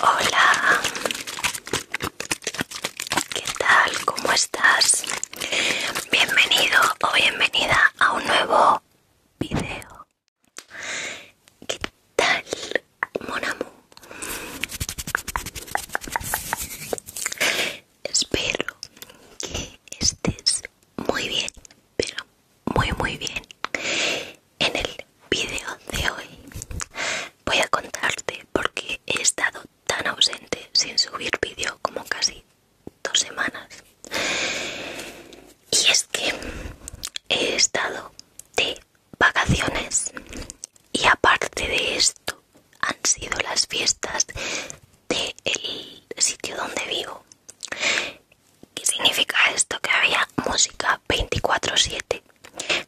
Hola, ¿qué tal? ¿Cómo estás? Bienvenido o bienvenida a un nuevo video. ¿Qué tal, Monamu? Espero que estés muy bien, pero muy muy bien. En el video de hoy voy a contarte por qué he estado tan ausente sin subir vídeo como casi dos semanas. Y es que he estado de vacaciones y aparte de esto han sido las fiestas del el sitio donde vivo. ¿Qué significa esto? Que había música 24/7,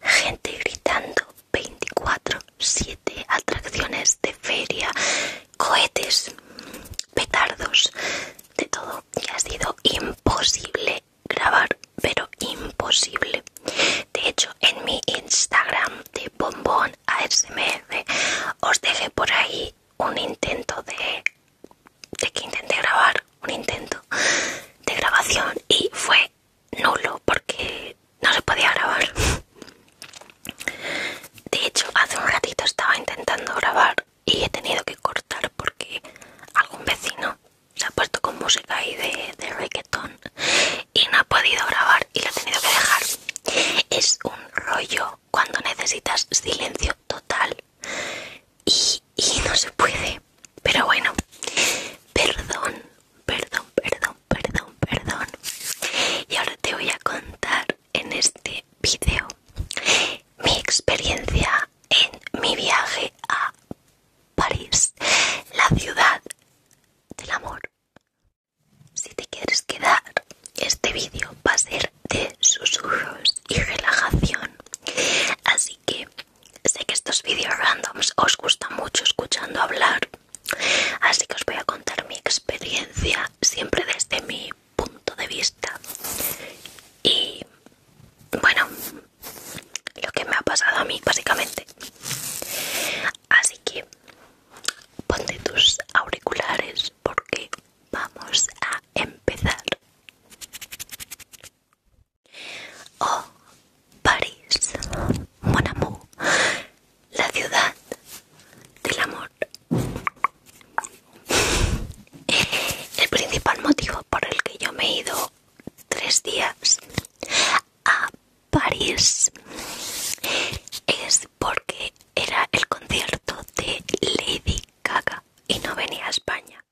gente gritando 24/7, atracciones de feria, cohetes, petardos, de todo. Y ha sido imposible grabar, pero imposible. De hecho, en mi Instagram de Bombón ASMR os dejé por ahí un intento de, de que intenté grabar, un intento de grabación y fue nulo porque no se podía grabar. De hecho, hace un ratito estaba intentando grabar y he tenido que cortar porque algún vecino se ha puesto con música ahí de, de reggaetón y no ha podido grabar y lo he tenido que dejar. Es un rollo cuando necesitas silencio total y no se puede. Pero bueno, perdón, perdón, perdón, perdón, perdón. Y ahora te voy a contar en este video mi experiencia en mi viaje a París, la ciudad del amor. Si te quieres quedar, este vídeo va a ser de susurros y relajación. Así que sé que estos vídeos randoms os gustan mucho escuchando hablar. Así que os voy a contar mi experiencia siempre desde mi punto de vista y bueno lo que me ha pasado a mí básicamente así que ponte tus auriculares porque vamos a empezar oh París mon la ciudad del amor. El principal motivo por el que yo me he ido tres días a París es porque era el concierto de Lady Gaga y no venía a España.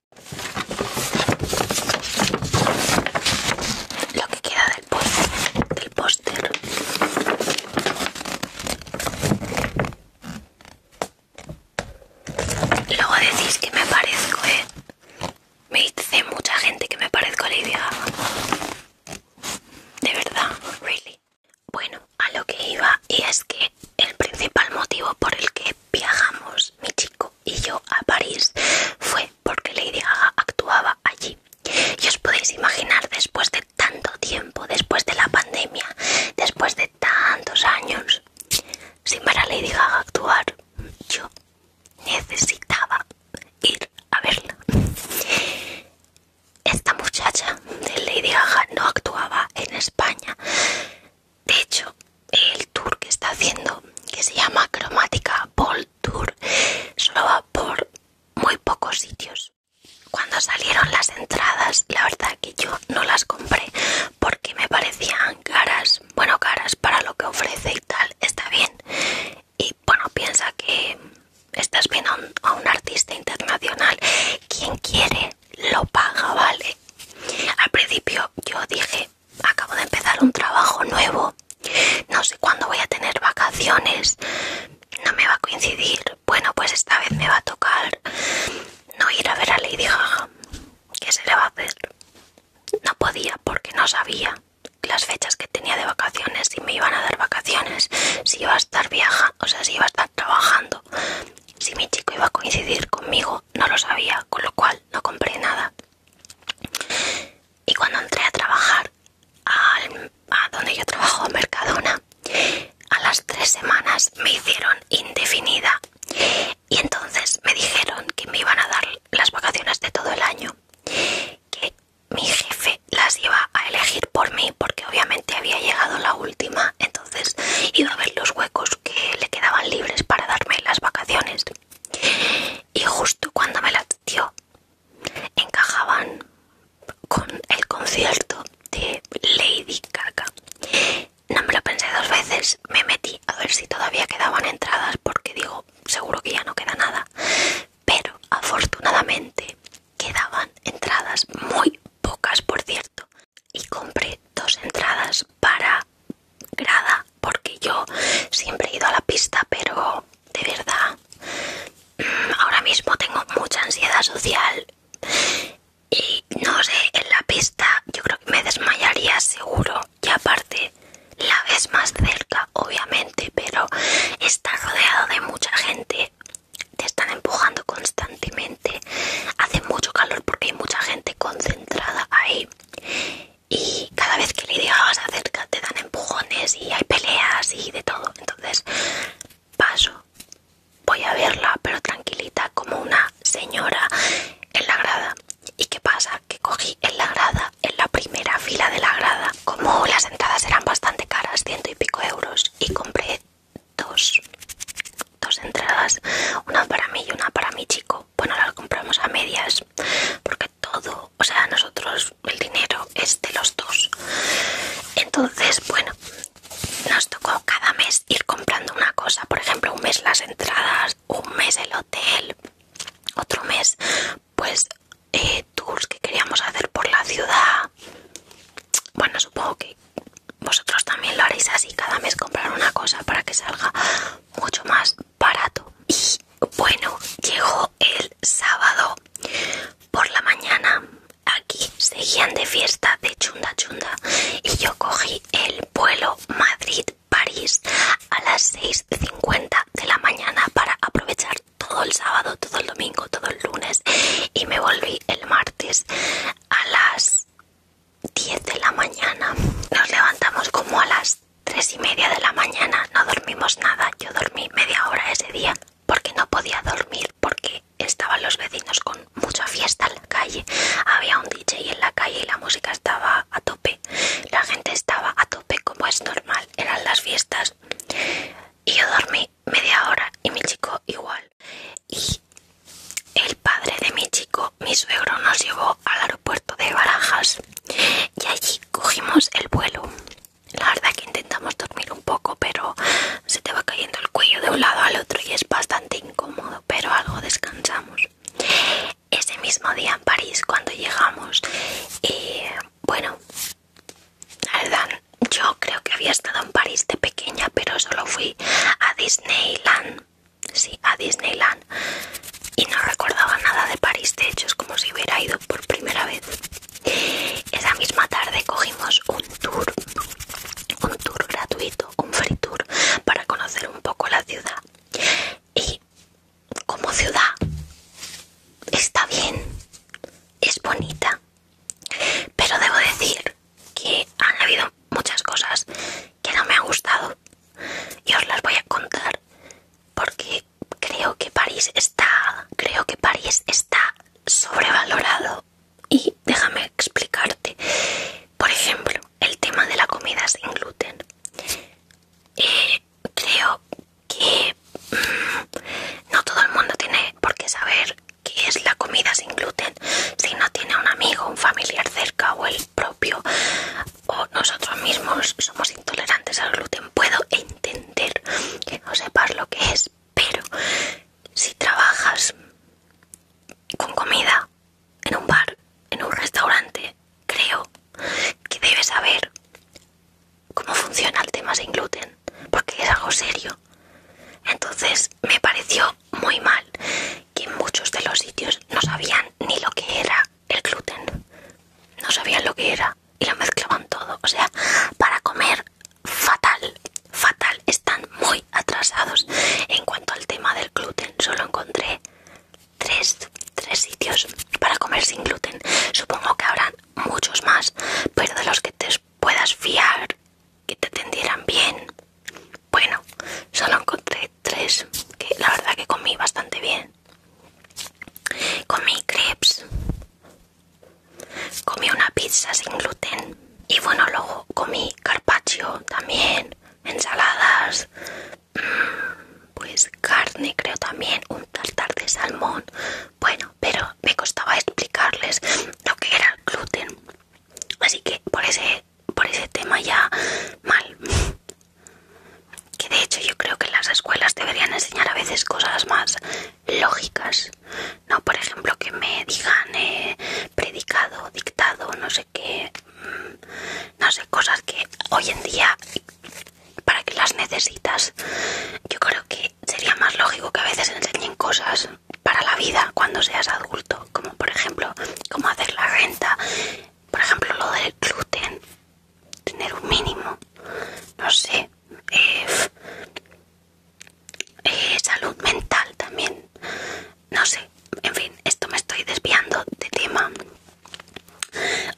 Lo que queda del, pueblo póster. Luego decís que me parezco, ¿eh? Me dice mucha gente que me parezco a Lady Gaga. De verdad, really. Bueno, a lo que iba y es que el principal motivo por el que viajamos mi chico y yo a París fue porque Lady Gaga actuaba allí. Y os podéis imaginar después de tanto tiempo después de la pandemia, después de tantos años, sin ver a Lady Gaga actuar, yo necesitaba ir a verla. Esta muchacha de Lady Gaga no actuaba en España. De hecho, el tour que está haciendo, que se llama Cromática Ball Tour, solo va por muy pocos sitios. Cuando salieron las entradas, la verdad que yo no las compré porque me parecían caras, bueno, caras para lo que ofrece y tal, está bien. Y bueno, piensa que estás viendo a un artista internacional, quien quiere lo paga, ¿vale? Al principio yo dije, acabo de empezar un trabajo nuevo, no sé cuándo voy a tener vacaciones, no me va a coincidir. Bueno, pues esta vez me va a tocar no ir a ver a Lady Gaga. ¿Qué se le va a hacer? No podía porque no sabía las fechas que tenía de vacaciones, si me iban a dar vacaciones, si iba a estar viaja, o sea, si iba a estar trabajando, si mi chico iba a coincidir conmigo, no lo sabía, con lo cual no compré nada. Y cuando entré a trabajar, al a donde yo trabajo, Mercadona, a las tres semanas me hicieron indefinida y entonces me dijeron que me iban a dar las vacaciones de todo el año, que mi jefe las iba a elegir por mí porque obviamente había llegado la última, entonces iba a ver los huecos que le quedaban libres para darme las vacaciones y justo cuando me las dio encajaban con el concierto de Lady Gaga. No me lo pensé dos veces, me metí a ver si todavía quedaban entradas porque digo, seguro que ya no queda nada. Pero afortunadamente quedaban entradas muy pocas, por cierto. Y compré dos entradas para grada porque yo siempre he ido a la pista, pero de verdad mm, ahora mismo tengo mucha ansiedad social y no sé, en la pista yo creo que me desmayaría seguro y aparte la ves más cerca obviamente pero está rodeado de mucha gente te están empujando constantemente hace mucho calor porque hay mucha gente concentrada ahí y cada vez que le digas acerca te dan empujones y hay peleas y de todo entonces paso. Voy a verla, pero tranquilita, como una señora en la grada. ¿Y qué pasa? Que cogí en la grada, en la primera fila de la grada. Como las entradas eran bastante caras, ciento y pico euros, y compré dos, dos entradas, una para mí y una para mi chico. Bueno, las compramos a medias, porque todo, o sea, nosotros el dinero es de los dos. Entonces, bueno, nos tocó cada mes ir comprando una cosa, por ejemplo, un mes las entradas, un mes el hotel, otro mes pues eh, tours que queríamos hacer por la ciudad. Bueno, supongo que vosotros también lo haréis así, cada mes comprar una cosa para que salga mucho más barato. Y bueno, llegó el sábado por la mañana aquí seguían de fiesta de chunda chunda y yo cogí el vuelo Madrid-París a las 6.50 de la mañana para aprovechar todo el sábado, todo el domingo, todo el lunes y me volví el martes a las 10 de la mañana. Nos levantamos como a las 3 y media de la mañana, no dormimos nada, yo dormí media hora ese día porque no podía dormir porque estaban los vecinos con mucha fiesta en la calle. Había un DJ en la calle y la música estaba a tope. La gente estaba a tope como es normal. Eran las fiestas. Y yo dormí media hora y mi chico igual. Y el padre de mi chico, mi suegro, nos llevó al aeropuerto de Barajas. Y allí cogimos el vuelo. La verdad que intentamos dormir un poco, pero se te va cayendo el cuello de un lado al otro y es bastante incómodo, pero algo descansamos. Ese mismo día en París, cuando llegamos, y eh, bueno, la yo creo que había estado en París de pequeña, pero solo fui a Disneyland. Sí, a Disneyland. Y no recordaba nada de París, de hecho, es como si hubiera ido por primera vez. Esa misma tarde cogimos un tour, un tour gratuito, un free tour, para conocer un poco la ciudad. Y como ciudad está bien, es bonita, pero debo decir que han habido muchas cosas que no me han gustado y os las voy a contar porque creo que París está, creo que París está sobrevalorado y déjame explicarte por ejemplo el tema de la comida sin gluten eh, creo que mm, no todo el mundo tiene por qué saber qué es la comida sin gluten si no tiene un amigo un familiar cerca o el propio o nosotros mismos somos intolerantes al gluten puedo entender que no sepas lo que es pero si trabajas con comida en un bar, en un restaurante, creo que debes saber cómo funciona el tema sin gluten, porque es algo serio. Entonces me pareció muy mal que en muchos de los sitios no sabían ni lo que era el gluten, no sabían lo que era y lo mezclaban todo. O sea, para comer fatal, fatal. Están muy atrasados. En cuanto al tema del gluten, solo encontré tres, sitios para comer sin gluten. Supongo que habrán muchos más, pero de los que te puedas fiar, que te atendieran bien. Bueno, solo encontré tres, que la verdad que comí bastante bien. Comí crepes, Comí una pizza sin gluten. Y bueno, luego comí carpaccio también, ensaladas, mm, pues carne creo también, un tartar de salmón. Bueno, pero me costaba explicarles lo que era el gluten. Así que por ese, por ese tema ya mal. Que de hecho yo creo que las escuelas deberían enseñar a veces cosas más lógicas no por ejemplo que me digan eh, predicado dictado no sé qué mm, no sé cosas que hoy en día para que las necesitas yo creo que sería más lógico que a veces enseñen cosas para la vida cuando seas adulto como por ejemplo cómo hacer la renta por ejemplo lo del gluten tener un mínimo no sé eh, eh, salud mental también no sé en fin esto me estoy desviando de tema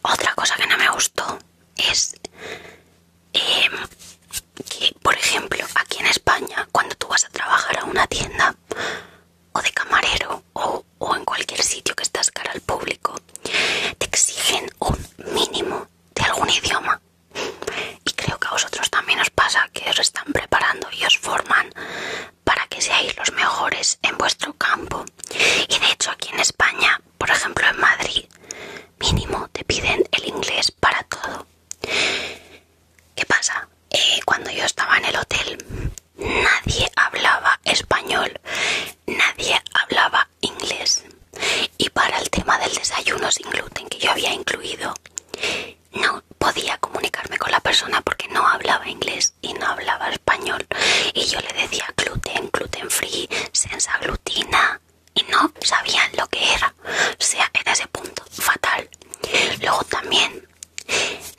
otra cosa que no me gustó es em, que por ejemplo aquí en España cuando tú vas a trabajar a una tienda o de camarero o en cualquier sitio que estás cara al público te exigen un mínimo de algún idioma y creo que a vosotros también os pasa que os están preparando y os forman para que seáis los mejores en vuestro campo. Y de hecho aquí en España, por ejemplo en Madrid, mínimo te piden el inglés para todo. ¿Qué pasa? Eh, cuando yo estaba en el hotel, nadie hablaba español, nadie hablaba inglés. Y para el tema del desayuno sin gluten que yo había incluido, no podía comunicarme con la persona porque no hablaba inglés y no hablaba español. Y yo le decía gluten, gluten free, sin glutina. Y no sabían lo que era. O sea, era ese punto fatal. Luego también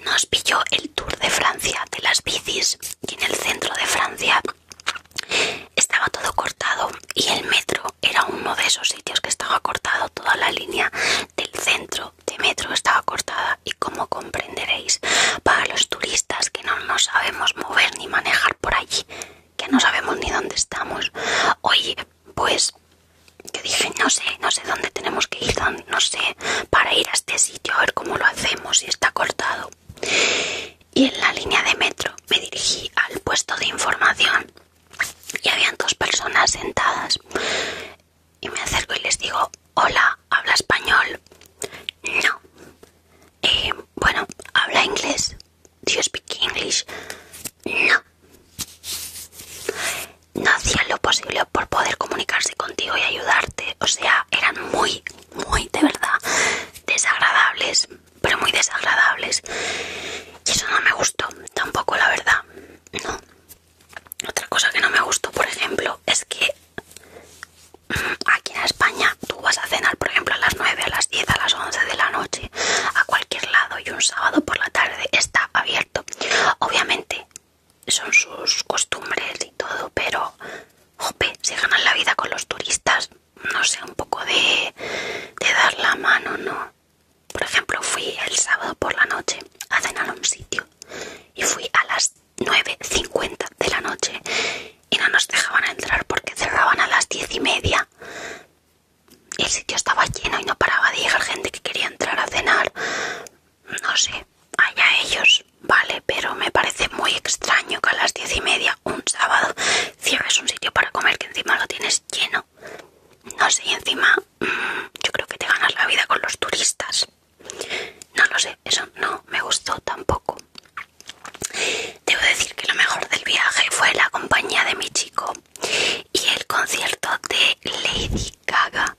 nos pilló el tour de Francia de las bicis. Y en el centro de Francia estaba todo cortado. Y el metro era uno de esos sitios que estaba cortado, toda la línea del centro de metro estaba cortada y como comprenderéis, para los turistas que no sabemos mover ni manejar por allí, que no sabemos ni dónde estamos, oye, pues que dije, no sé, no sé dónde tenemos que ir, no sé, para ir a este sitio, a ver cómo lo hacemos, si está cortado. Y en la línea de metro me dirigí al puesto de información y habían dos personas sentadas y me acerco y les digo hola habla español no eh, bueno habla inglés do you speak English no no hacían lo posible por poder comunicarse contigo y ayudarte o sea eran muy muy de verdad desagradables pero muy desagradables y eso no me gustó tampoco la verdad no otra cosa que no me gustó por ejemplo es que mm, aquí en España tú vas a cenar por ejemplo a las 9 a las 10 a las 11 de la noche a cualquier lado y un sábado por la tarde está abierto obviamente son sus costumbres y todo pero jope se ganan la vida con los turistas no sé un poco de dar la mano no por ejemplo, fui el sábado por la noche a cenar a un sitio y fui a las 9.50 de la noche y no nos dejaban entrar porque cerraban a las diez y media. El sitio estaba lleno y no paraba de llegar gente que quería entrar a cenar. No sé, allá ellos, vale, pero me parece muy extraño que a las diez y media un sábado cierres un sitio para comer que encima lo tienes lleno. No sé, y encima mm, yo creo que te ganas la vida con los turistas. No lo sé, eso no me gustó tampoco. Debo decir que lo mejor del viaje fue la compañía de mi chico y el concierto de Lady Gaga.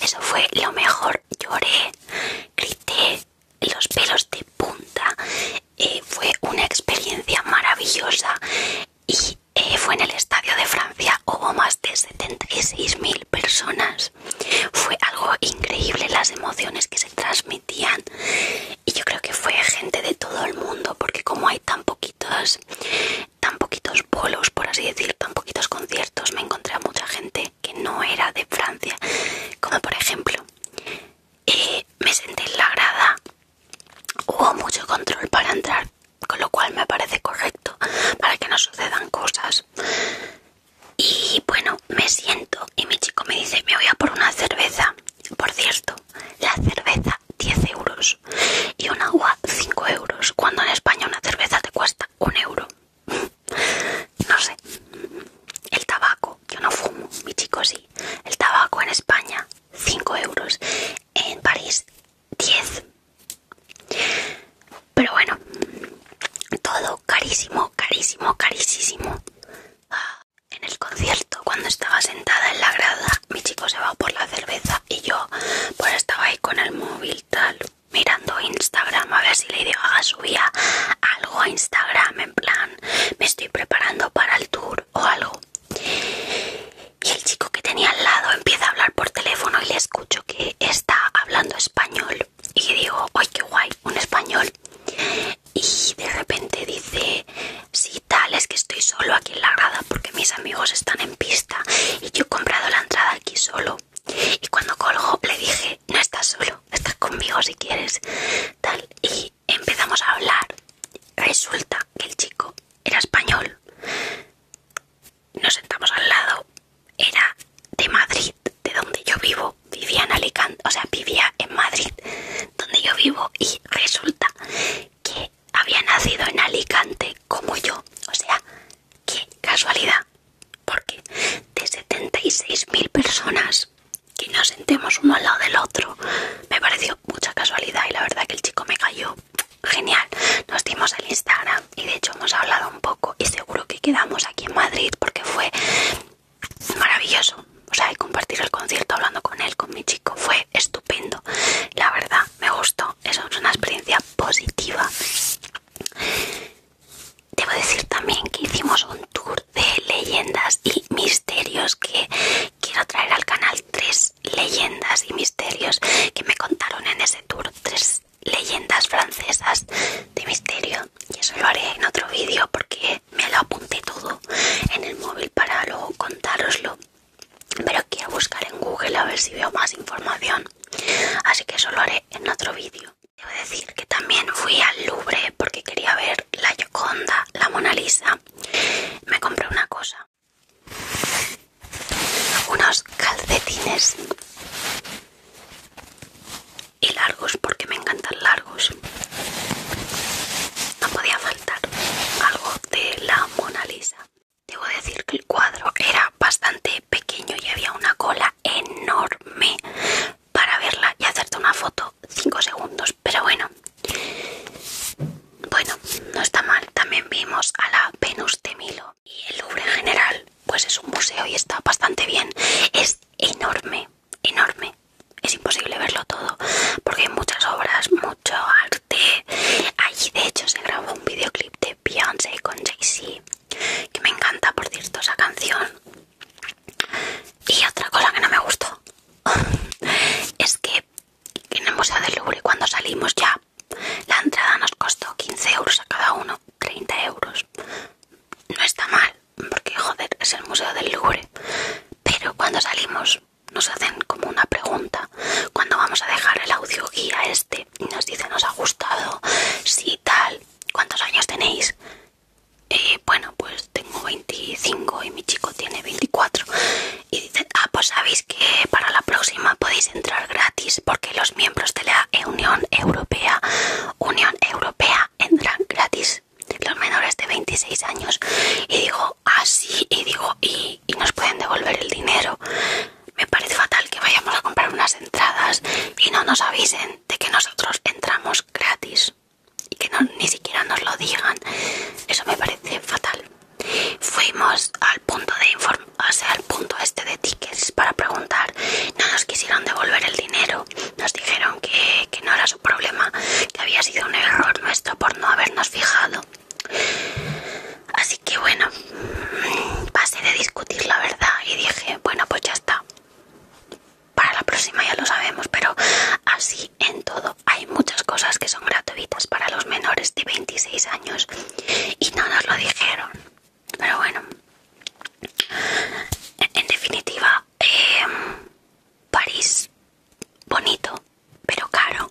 Eso fue lo mejor. Lloré, grité, los pelos de punta. Eh, fue una experiencia maravillosa y eh, fue en el Estadio de Francia, hubo más de 76.000 personas. Fue algo increíble las emociones que se transmitían y yo creo que fue gente de todo el mundo porque como hay tan poquitos, tan poquitos bolos, por así decir, tan poquitos conciertos, me encontré a mucha gente que no era de Francia, como por ejemplo, eh, me senté en la grada hubo mucho control para entrar, con lo cual me parece correcto para que no sucedan cosas. Y bueno, me siento y mi chico me dice, me voy a por una cerveza. Por cierto, la cerveza 10 euros y un agua 5 euros, cuando en España una cerveza te cuesta un euro. no sé. El tabaco, yo no fumo, mi chico sí. El tabaco en España, 5 euros en París 10. Pero bueno, todo carísimo, carísimo, carísimo. Ah, en el concierto, cuando estaba sentada en la grada, mi chico se va por la cerveza y yo pues estaba ahí con el móvil tal, mirando Instagram a ver si le dio a ah, subía algo a Instagram en plan, me estoy preparando para el tour o algo. Y el chico que tenía al lado empieza a hablar por teléfono y le escucho que está hablando español. Y digo, ¡ay qué guay! Un español. Y de repente dice, sí, tal, es que estoy solo aquí en la grada porque mis amigos están en pista y yo he comprado la entrada aquí solo. Y cuando colgo le dije, no estás solo, estás conmigo si quieres. Tal, y empezamos a hablar. Resulta que el chico era español nos sentamos al lado, era de Madrid, de donde yo vivo, vivía en Alicante, o sea, vivía en Madrid, donde yo vivo, y resulta que había nacido en Alicante como yo, o sea, qué casualidad, porque de 76.000 personas que nos sentemos uno al lado del otro, me pareció mucha casualidad y la verdad que el chico me cayó genial. Nos dimos el Instagram y de hecho hemos hablado un poco y seguro que quedamos aquí en Madrid porque fue maravilloso. O sea, y compartir el concierto hablando con él, con mi chico, fue estupendo. La verdad, me gustó. Eso es una experiencia positiva. Debo decir también que hicimos un tour de leyendas y misterios que quiero traer al canal tres leyendas y misterios que me contaron en ese tour, tres leyendas francesas de misterio y eso lo haré en otro vídeo porque me lo apunté todo en el móvil para luego contároslo pero quiero buscar en Google a ver si veo más información así que eso lo haré en otro vídeo debo decir que también fui al Louvre porque quería ver la Gioconda, la Mona Lisa me compré una cosa unos calcetines y largos porque me encantan largos no podía faltar algo de la Mona Lisa debo decir que el cuadro era bastante pequeño y había una cola enorme para verla y hacerte una foto 5 segundos pero bueno bueno, no está mal. También vimos a la Venus de Milo. Y el Louvre en general, pues es un museo y está bastante bien. Es enorme, enorme. Es imposible verlo todo porque hay muchas obras, mucho arte. Allí, de hecho, se grabó un videoclip de Beyoncé con Jay-Z, que me encanta, por cierto, esa canción. Y otra cosa que no me gustó es que en el Museo del Louvre cuando salimos ya. La entrada nos costó 15 euros a cada uno, 30 euros. No está mal, porque joder, es el Museo del Louvre. Pero cuando salimos nos hacen como una pregunta. Cuando vamos a dejar el audio guía este y nos dice nos ha gustado, sí tal, ¿cuántos años tenéis? Eh, bueno, pues tengo 25 y mi chico tiene 24 dicen, ah, pues sabéis que para la próxima podéis entrar gratis porque los miembros de la Unión Europea, Unión Europea, entran gratis los menores de 26 años. Y digo, así, ah, y digo, y, nos pueden devolver el dinero. Me parece fatal que vayamos a comprar unas entradas y no nos avisen de que nosotros entramos gratis y que ni siquiera nos lo digan. Eso me parece fatal. Fuimos al punto de al punto este de tickets para preguntar. No nos quisieron devolver el dinero. Nos dijeron que no era su problema, que había sido un error nuestro por no habernos fijado. Así que bueno, pasé de discutir la verdad y dije, bueno, pues ya está. Para la próxima ya lo sabemos, pero así en todo hay muchas cosas que son gratuitas para los menores de 26 años y no nos lo dijeron pero bueno en, definitiva eh, París bonito pero caro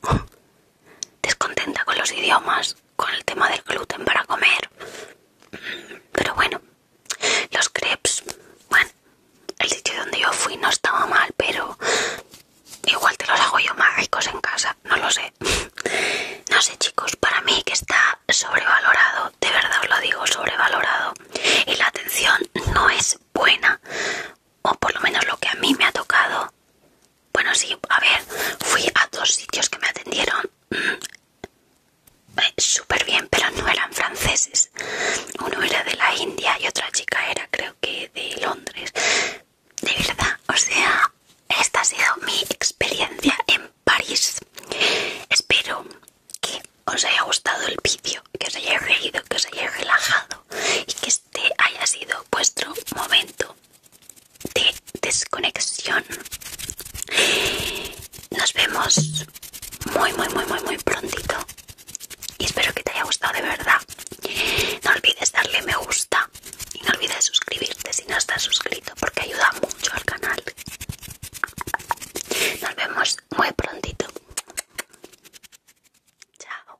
descontenta con los idiomas con el tema del gluten para comer pero bueno los crepes bueno el sitio donde yo fui no estaba mal pero Igual te los hago yo mágicos en casa, no lo sé. No sé chicos, para mí que está sobrevalorado, de verdad os lo digo, sobrevalorado. Y la atención no es buena, o por lo menos lo que a mí me ha tocado. Bueno, sí, a ver, fui a dos sitios que me atendieron mm, eh, súper bien, pero no eran franceses. Uno era de la India y otra chica era creo que de Londres de verdad, o sea, esta ha sido mi experiencia en París. Espero que os haya gustado el vídeo, que os haya reído, que os haya relajado y que este haya sido vuestro momento de desconexión. Nos vemos muy, muy, muy, muy, muy prontito. Y espero que te haya gustado de verdad. No olvides darle me gusta y no olvides suscribirte si no estás suscrito porque ayuda mucho al canal. Nos vemos muy prontito. Chao.